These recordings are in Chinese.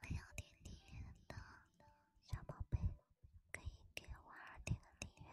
没有订阅的小宝贝，可以给娃儿点个订阅。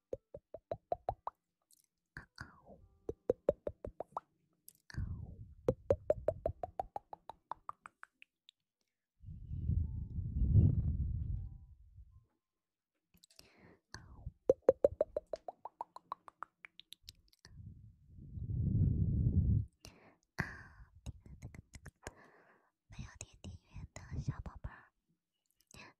没有点订阅的小宝贝儿。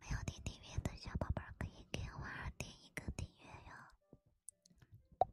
没有订阅的小宝贝儿可以给我点一个订阅哟。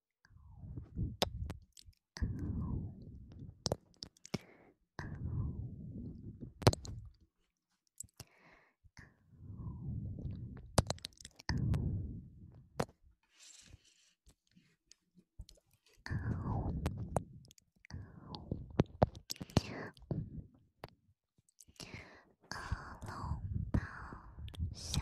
阿龙，大象。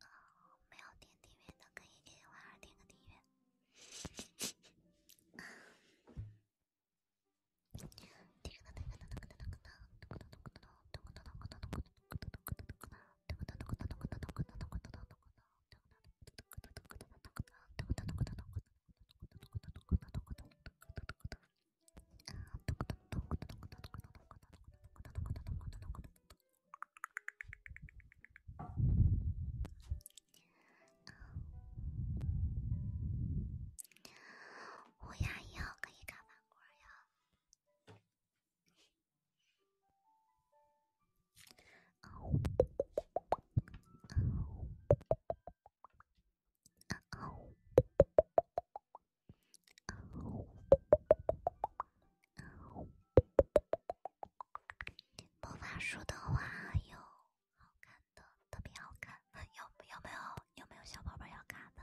啊，没有点订阅的可以给婉儿点个订阅。乌鸦以后可以看芒果呀。魔法书的话有好看的，特别好看。有有没有有没有小宝贝要看的？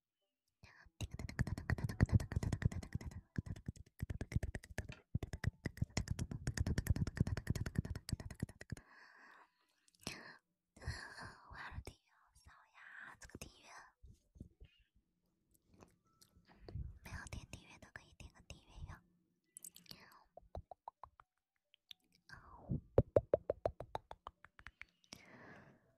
完了，订阅好少呀！这个订阅没有点订阅的可以点个订阅哟。